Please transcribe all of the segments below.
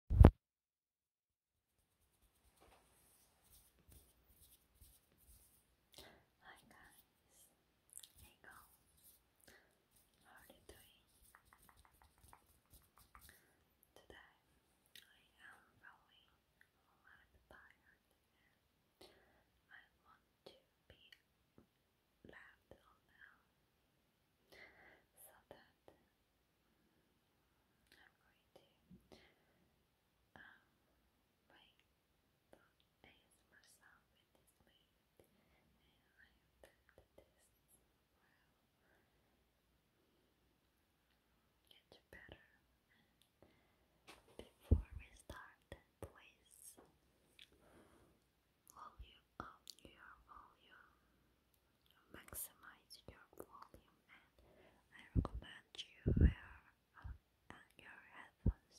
Hi guys, hey girls, how are you doing? Today I am really a lot I want to be left alone so that I'm going to um, make the ASMR sound with this and I have this well get better before we start please volume your volume maximize your volume and I recommend you wear uh, uh your headphones.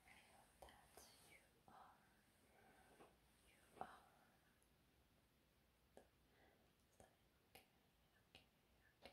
that you are, you are. Like, okay, okay, okay. Okay.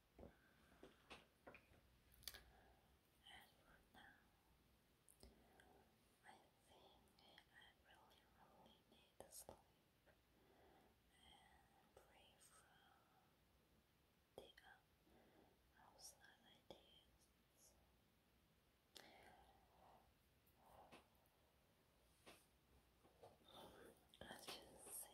And for now, I think I really, really need to sleep and free the um, outside As you see,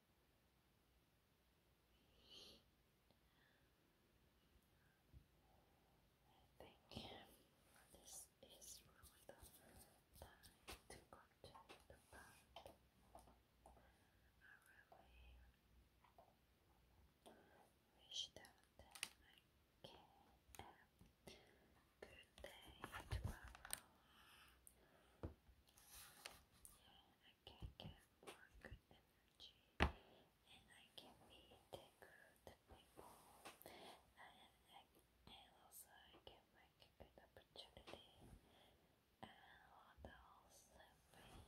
think this is really the time to continue the part. I really wish that I can have a good day tomorrow. Yeah, I can get more good energy and I can be the people and, and also I can make good opportunity and what else be and I can give many beautiful accessories I can take a business class with my family.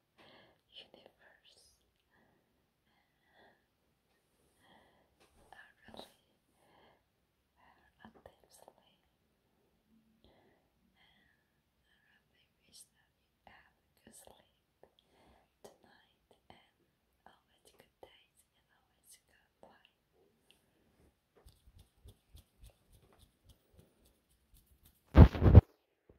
universe I really you have a good sleep tonight and always good days and always good life.